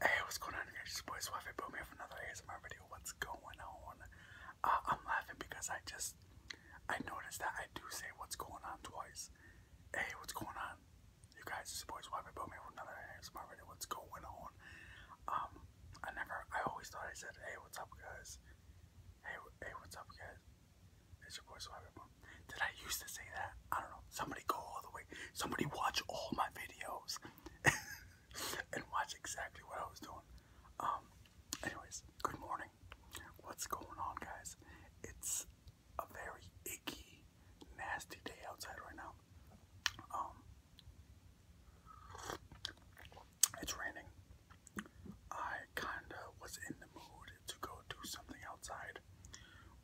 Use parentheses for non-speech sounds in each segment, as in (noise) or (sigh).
Hey, what's going on, guys? It's your boy Swaffy Boom here for another ASMR video. What's going on? Uh, I'm laughing because I just I noticed that I do say what's going on twice. Hey, what's going on? You guys, it's your boy Swaffy Boom here for another ASMR video. What's going on? Um, I never, I always thought I said, hey, what's up, guys? Hey, hey, what's up, guys? It's your boy Swaffy did I used to say that? I don't know. Somebody go all the way. Somebody watch all my videos (laughs) and watch exactly what I was doing. Um, anyways, good morning. What's going on, guys? It's a very icky, nasty day outside right now. Um, it's raining. I kind of was in the mood to go do something outside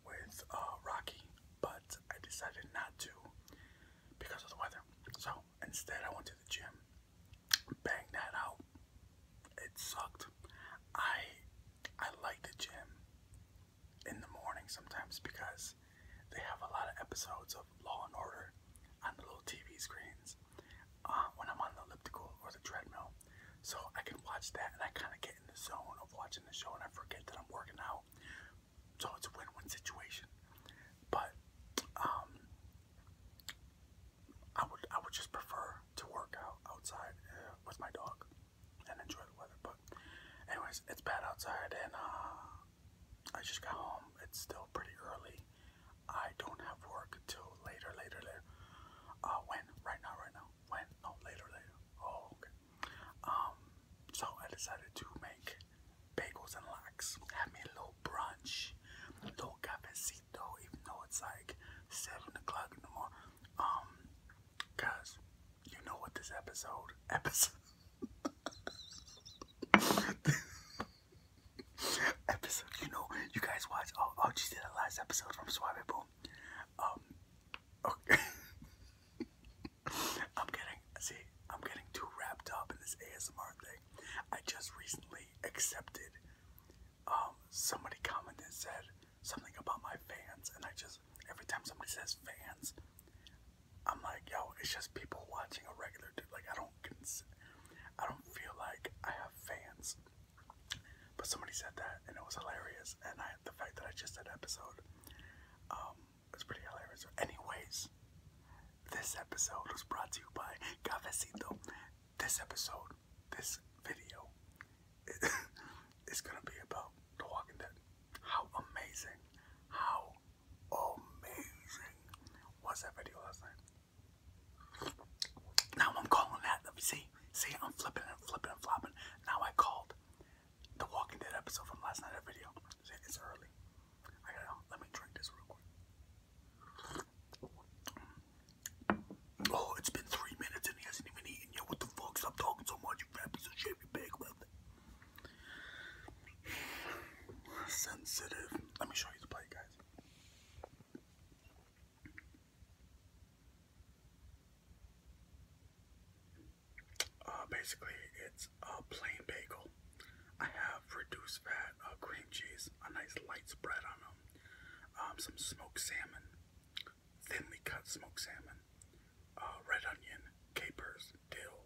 with uh, Rocky, but I decided not to because of the weather. So instead, I went to the gym, banged that out. It sucked. I I like the gym in the morning sometimes because they have a lot of episodes of Law and Order on the little TV screens uh, when I'm on the elliptical or the treadmill. So I can watch that and I kind of get in the zone of watching the show and I forget that I'm working out. So it's a win-win situation. But um, I would I would just prefer to work out outside uh, with my dog and enjoy the weather. But anyways, it's bad outside and uh, I just got home. It's still pretty early. I don't have work until later, later, later. Uh, when? Right now, right now. When? No, later, later. Oh, okay. Um, so I decided to make bagels and lox. Have me a little brunch, little cafecito, even though it's like seven o'clock in the morning. Um, you know what this episode (laughs) episode episode. You know, you guys watch. Oh, oh, she did the last episode from Suave Boom. Um, okay. (laughs) (laughs) I'm getting, see, I'm getting too wrapped up in this ASMR thing. I just recently accepted, um, somebody commented, said something about my fans, and I just, every time somebody says fans, I'm like, yo, it's just people watching a regular dude. Like, I don't, I don't feel like I have fans. But somebody said that, and it was hilarious. And I, the fact that I just said episode, um, was pretty hilarious. Anyways, this episode was brought to you by Cafecito. This episode, this video, it, (laughs) it's gonna be about The Walking Dead. How amazing, how amazing What's that video last night? Now I'm calling that. Let me see. See, I'm flipping and flipping and flopping. Now I called the Walking Dead episode from last night. A video. It's early. I gotta let me drink this real quick. Oh, it's been three minutes and he hasn't even eaten yet. What the fuck? Stop talking so much, you fat piece of shit. You big Sensitive. Let me show you the plate, guys. Uh, basically, it's a uh, plain bagel. I have reduced fat, uh, cream cheese, a nice light spread on them, um, some smoked salmon, thinly cut smoked salmon, uh, red onion, capers, dill.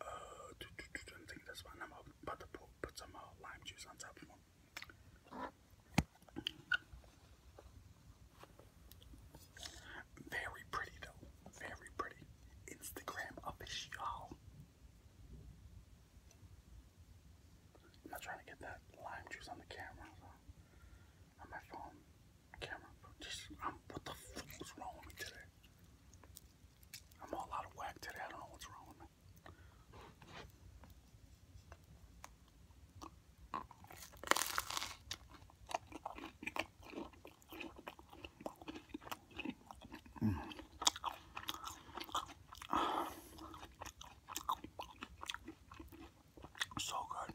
Uh, I think that's fine. I'm about to put some uh, lime juice on top very pretty though. Very pretty. Instagram official. I'm not trying to get that lime juice on the camera. On my phone camera. Just, what the fuck is wrong with me today? I'm all out of whack today. I don't know what's wrong with me. Mm. So good.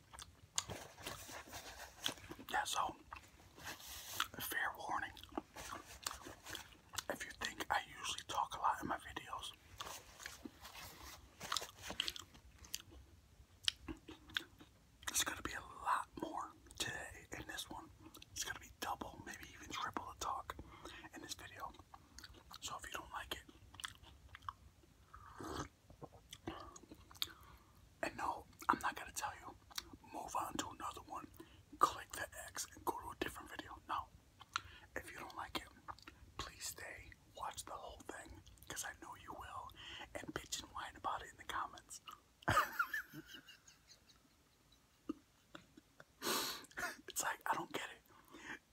Yeah, so fair warning. If you think I usually talk a lot in my videos, there's gonna be a lot more today in this one. It's gonna be double, maybe even triple the talk in this video. So if you don't like it, and no, I'm not gonna tell you, move on to another one, click the X, and go to a different video. No. If you don't like it, please stay, watch the whole thing, I know you will, and bitch and whine about it in the comments. (laughs) it's like I don't get it.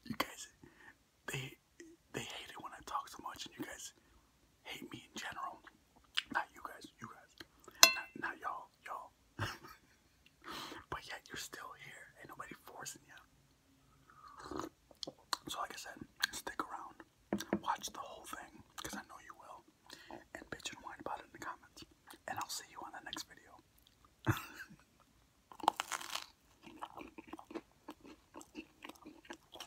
You guys, they they hate it when I talk so much, and you guys hate me in general. Not you guys, you guys. Not, y'all, y'all. (laughs) but yet you're still here. Ain't nobody forcing you. So like I said, stick around. Watch the whole thing, I know you will. And bitch and whine about it in the comments. And I'll see you on the next video. (laughs)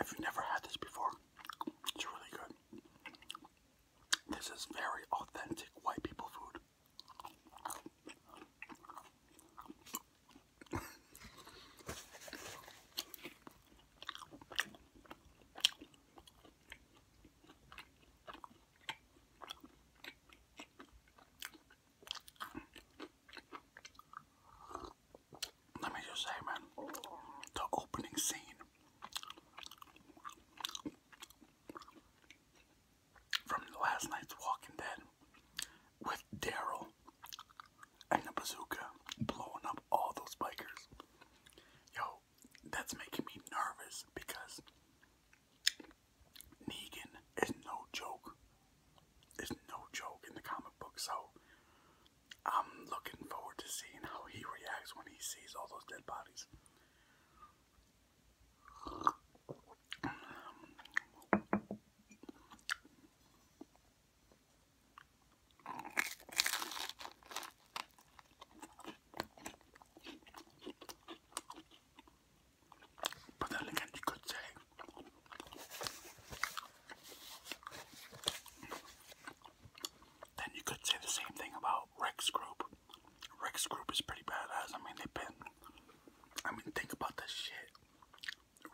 If have never had this before, it's really good. This is very authentic white people food. Let me just say, man, the opening scene from last night's Walking Dead with Daryl and the bazooka blowing up all those bikers. Yo, that's making me nervous because Negan is no joke. Is no joke in the comic book, so I'm looking forward to seeing how he reacts when he sees all those dead bodies. But then again, you could say then you could say the same thing about Rex Group. Rex Group is pretty badass. I mean, they've been. I mean, think about this shit.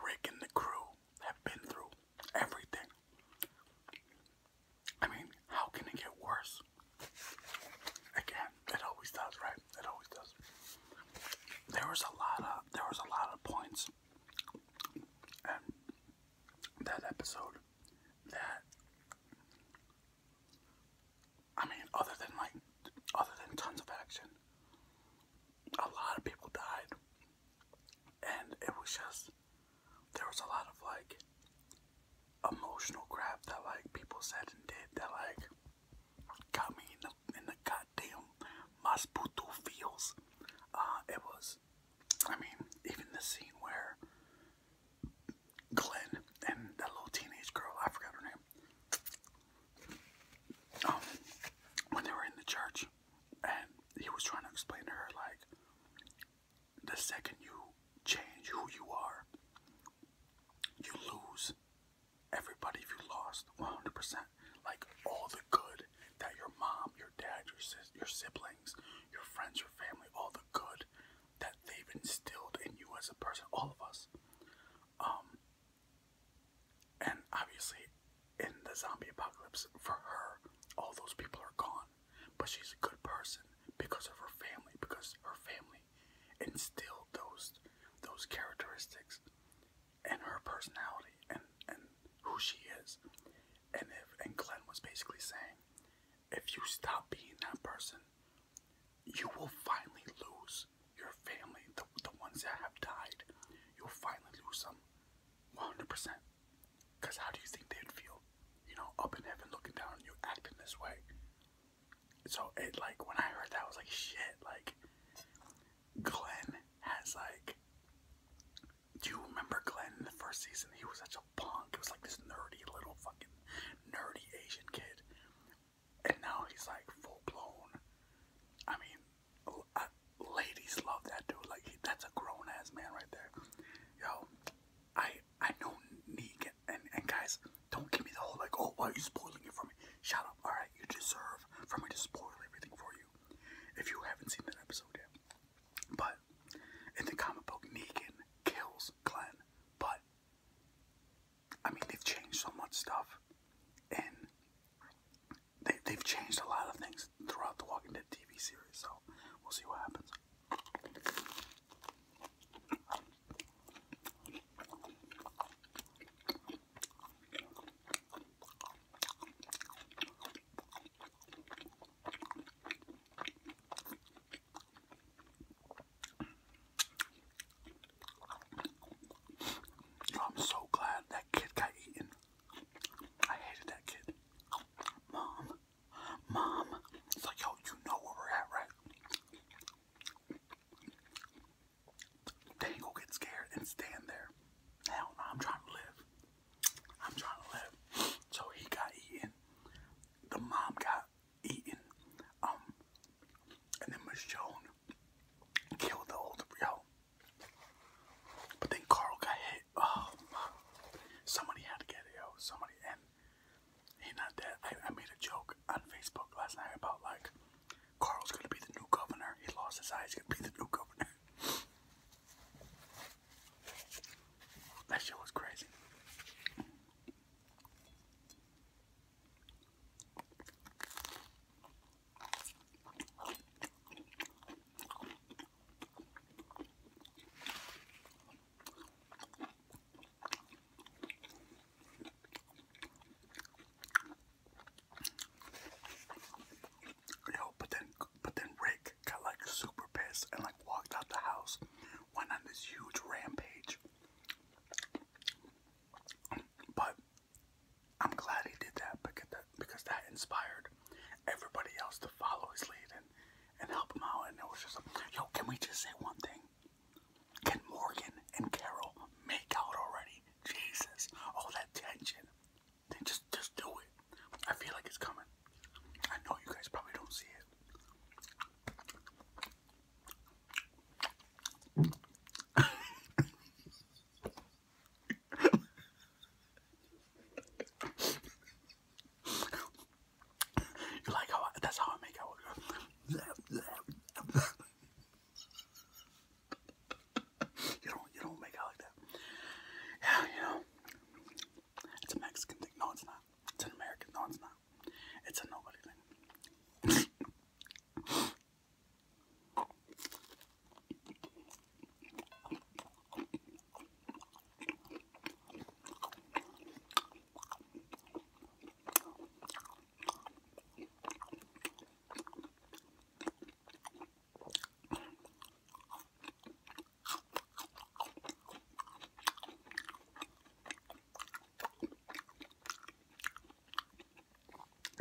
Rick and the crew have been through everything. I mean, how can it get worse? Again, it always does, right? It always does. There was a lot of there was a lot of points in that episode that I mean other than like other than tons of action a lot of people died and it was just there was a lot of like emotional crap that like people said and did that like got me in the in the goddamn Masputo feels. Uh, it was, I mean, even the scene where Glenn and that little teenage girl, I forgot her name, um, when they were in the church, and he was trying to explain to her like, the second you change who you are, you lose everybody if you lost 100%, like all the good that your mom, your dad, your sis, your siblings, your friends, your family, all the good that they've instilled in you as a person, all of us. Um and obviously in the zombie apocalypse for her, all those people are gone, but she's a good person because of her family because her family me, instilled those those characteristics and her personality and and who she is. And if and Glenn was basically saying, if you stop being that person, you will finally lose your family, the the ones that have died. You'll finally lose them, 100%. Cause how do you think they'd feel? You know, up in heaven looking down on you acting this way so it like when I heard that I was like shit like Glenn has like do you remember Glenn in the first season? He was such a punk. It was like this nerdy little fucking nerdy Asian kid. And now he's like full blown. I mean, uh, ladies love that dude. Like that's a grown ass man right there. Yo, I I know Negan and, and guys, don't give me the whole like, oh, why are you spoiling it for me? Shut up. All right, you deserve for me to spoil everything for you if you haven't seen that episode yet. But in the comic book, Negan kills Glenn. But I mean, they've changed so much stuff, and they, they've changed a lot of things throughout the Walking Dead TV series. So we'll see what happens. I'm so glad that kid got eaten. I hated that kid. Mom, mom. It's like, yo, you know where we're at, right? Dangle get scared and stand there. Hell I'm trying to live. I'm trying to live. So he got eaten. The mom got eaten. Um, and then Michonne killed the older yo. But then Carl got hit. Oh, somebody had to get yo. Somebody he not dead. I, I made a joke on Facebook last night about like Carl's gonna be the new governor. He lost his eyes. He's gonna be the new governor. (laughs) that shit was crazy. Yo, but then but then Rick got like super pissed and like walked out the house, went on this huge rampage. But I'm glad he did that because that inspired everybody else to follow his lead and and help him out. And it was just like, yo, can we just say one thing? Can Morgan and Carol make out already? Jesus, all that tension. Then just, just do it. I feel like it's coming. I know you guys probably don't see it. (laughs) you like how that's how I make out you don't you don't make out like that. Yeah, you know. It's a Mexican thing. No, it's not. It's an American. No, it's not. It's a nobody thing.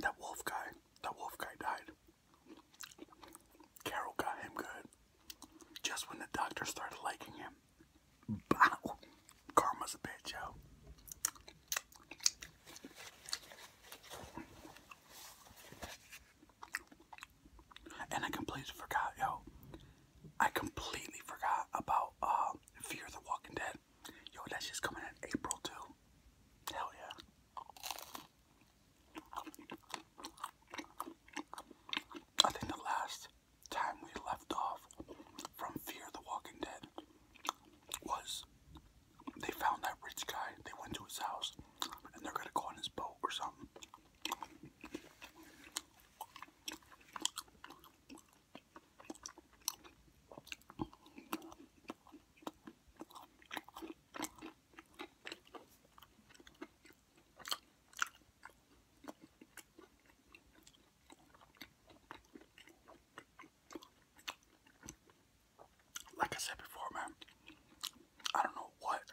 That wolf guy, that wolf guy died. Carol got him good just when the doctor started liking him. Bottle. Karma's a bitch, yo. And I completely forgot, yo. I completely forgot about uh, Fear the Walking Dead. Yo, that's just coming in April too. Hell yeah. I think the last time we left off from Fear the Walking Dead was they found that rich guy, they went to his house, and they're gonna go on his boat or something. Like I said before, man, I don't know what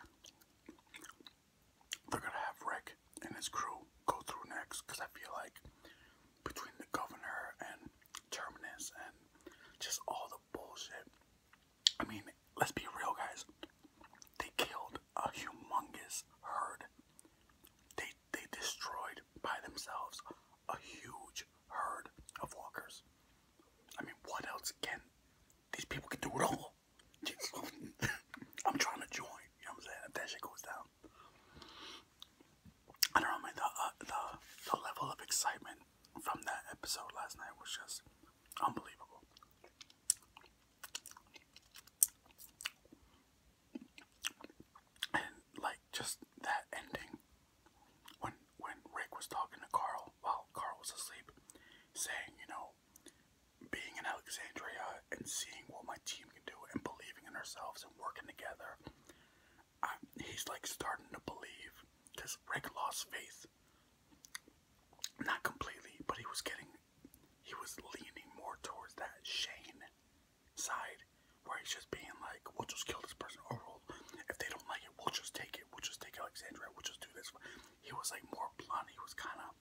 they're gonna have Rick and his crew go through next because I feel like between the governor and Terminus and just all the bullshit. I mean, let's be real, guys. They killed a humongous herd. They they destroyed by themselves a huge herd of walkers. I mean, what else can these people can do at all? (laughs) (laughs) I'm trying to join. You know what I'm saying? If that shit goes down, I don't know. Man, the, uh, the the level of excitement from that episode last night was just unbelievable. And like just that ending when when Rick was talking to Carl while Carl was asleep, saying, you know, being in Alexandria and seeing what my team can do and believing in ourselves and working together, he's like starting to believe because Rick lost faith. Not completely, but he was getting, he was leaning more towards that Shane side where he's just being like, we'll just kill this person, or if they don't like it, we'll just take it, we'll just take Alexandria, we'll just do this. He was like more blunt, he was kind of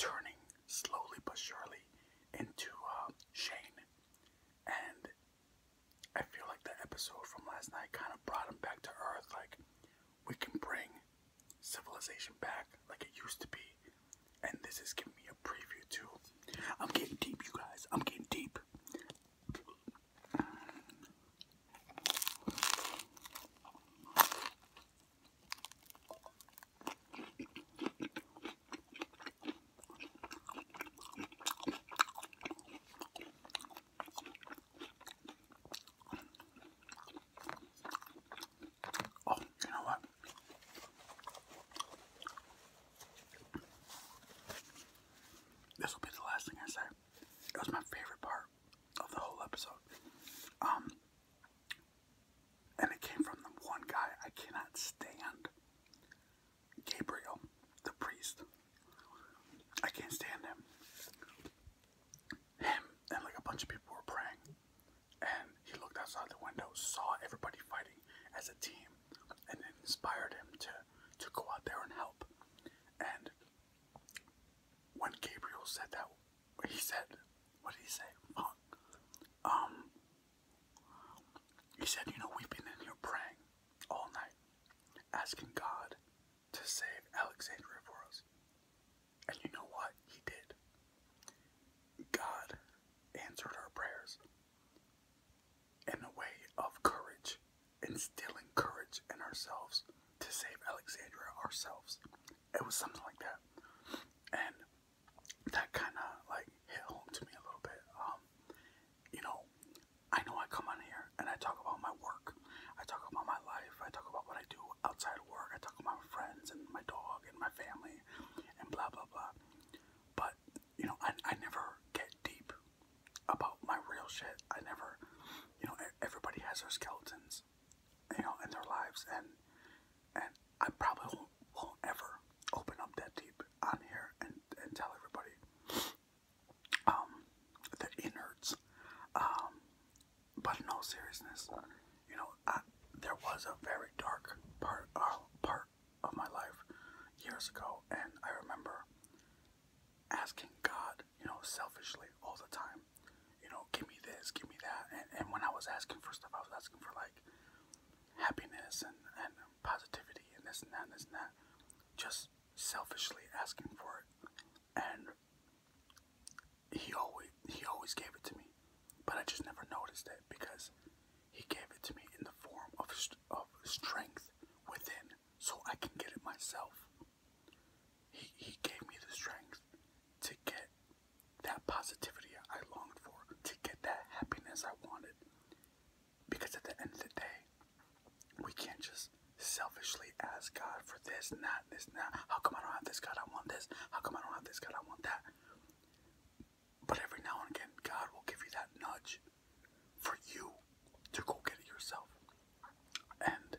turning slowly but surely into uh, Shane. And I feel like the episode from last night kind of brought him back to earth. Like, we can bring civilization back like it used to be and this is giving me a preview too. I'm getting deep, you guys. I'm getting deep. Oh, you know what? This will be the last thing I say. It was my favorite part of the whole episode. Um, and it came from the one guy I cannot stand Gabriel, the priest. I can't stand him. Him and like a bunch of people were praying, and he looked outside the window, saw everybody fighting as a team, and inspired him to to go out there and help. And when Gabriel said that, he said, "What did he say?" Um, he said, "You know, we've been in here praying all night, asking God to save Alexandria for us." And you know what? He did. God answered our prayers in a way of courage, instilling courage in ourselves to save Alexandria ourselves. It was something like that. And that kind of like hit home to me a little bit. Um, you know, I know I come on here and I talk about my work, I talk about my life, I talk about what I do outside work, I talk about my friends and my dog and my family and blah blah blah. But you know, I, I never get deep about my real shit. I never, you know, everybody has their skeletons, you know, in their lives, and and I probably won't, ever open up that deep on here and and tell everybody um the innards. Um, but in all seriousness, you know, I, there was a very dark part uh, part of my life years ago, and I remember asking God, you know, selfishly all the time, you know, give me this, give me that. And, and when I was asking for stuff, I was asking for like happiness and, and positivity and this and that and this and that, just selfishly asking for it. And he always he always gave it to me, but I just never noticed it because he gave it to me in the form of, of strength within so I can get it myself. He, he gave me the strength to get that positivity I longed for, to get that happiness I wanted. Because at the end of the day, we can't just selfishly ask God for this not this and How come I don't have this, God? I want this. How come I don't have this, God? I want that. But every now and again, God will give you that nudge for you to go get it yourself. And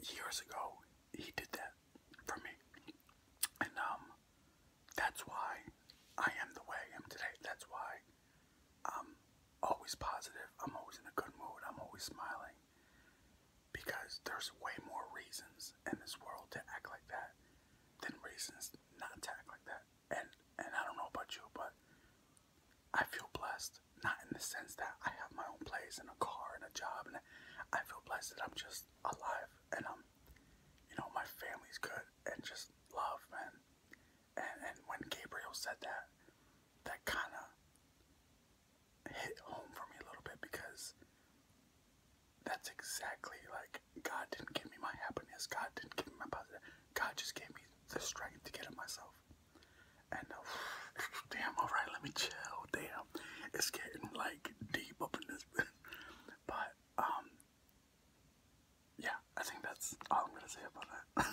years ago, He did that for me. And um, that's why I am the way I am today. That's why I'm always positive. I'm always in a good mood. I'm always smiling. Because there's way more reasons in this world to act like that than reasons not attack like that. And and I don't know about you, but I feel blessed. Not in the sense that I have my own place and a car and a job, and I feel blessed that I'm just alive and I'm, you know, my family's good and just love, man. And and when Gabriel said that, that kind of hit home for me a little bit because that's exactly like God didn't give me my happiness. God didn't give me my positive. God just gave me the strength to get it myself. And uh, (laughs) damn, all right, let me chill. Damn, it's getting like deep up in this. (laughs) but um, yeah, I think that's all I'm gonna say about that. (laughs)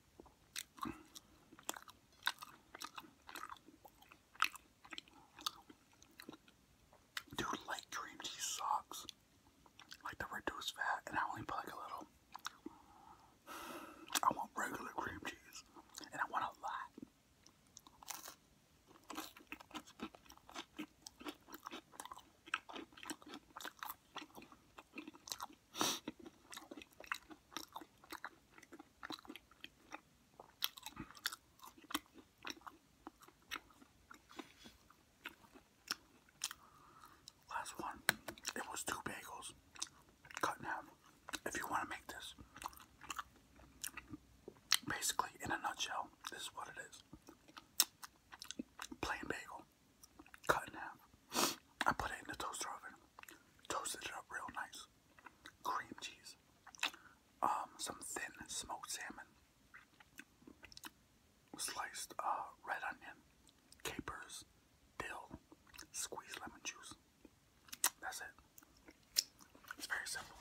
Dude, like cream cheese sucks. Like the reduced fat, and I only put like a little. I want regular cream cheese, and I want a lot. Last one, it was two bagels cut in half. If you want to make this, basically, in a nutshell, this is what it is plain bagel, cut in half. I put it in the toaster oven toasted it up real nice. Cream cheese, um, some thin smoked salmon, sliced uh, red onion, capers, dill, squeezed lemon juice. That's it. It's very simple.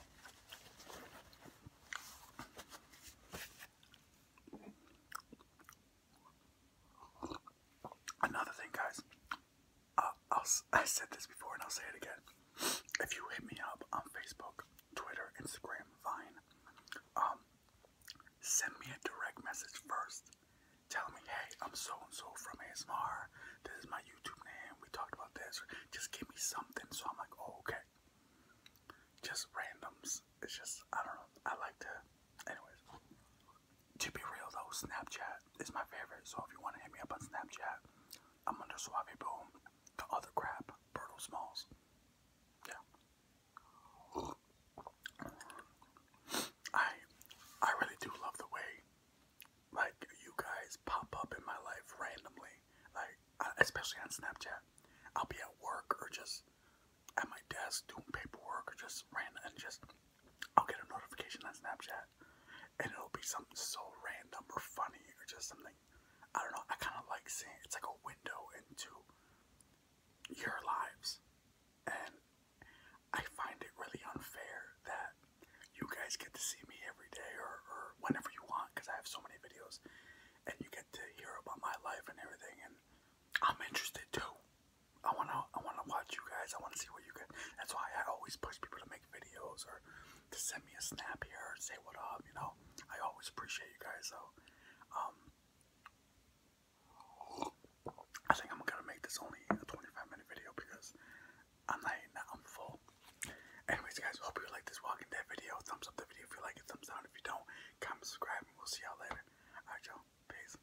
Another thing, guys, i I said this before and I'll say it again. If you hit me up on Facebook, Twitter, Instagram, Vine, um, send me a direct message first. Tell me, hey, I'm so and so from ASMR. This is my YouTube name. We talked about this. Just give me something. So I'm like, oh, okay. Just randoms. It's just, I don't know. I like to, anyways. To be real though, Snapchat is my favorite. So if you want to hit me up on Snapchat, I'm under Suave Boom. The other crap, Bertle Smalls. Yeah. I I really do love the way like you guys pop up in my life randomly. Like especially on Snapchat. I'll be at work or just at my desk doing paperwork or just random and just I'll get a notification on Snapchat and it'll be something so random or funny or just something. I don't know. I kind of like seeing it's like a window into your lives. And I find it really unfair that you guys get to see me every day or, whenever you want because I have so many videos and you get to hear about my life and everything. And I'm interested too. I wanna I wanna watch you guys. I wanna see what you guys. That's why I always push people to make videos or to send me a snap here say what up. You know, I always appreciate you guys. So, um, I think I'm gonna make this only a 25 minute video because I'm not eating I'm full. Anyways, guys, hope you like this Walking Dead video. Thumbs up the video if you like it. Thumbs down if you don't. Comment, subscribe, and we'll see y'all later. Alright, y'all. Peace.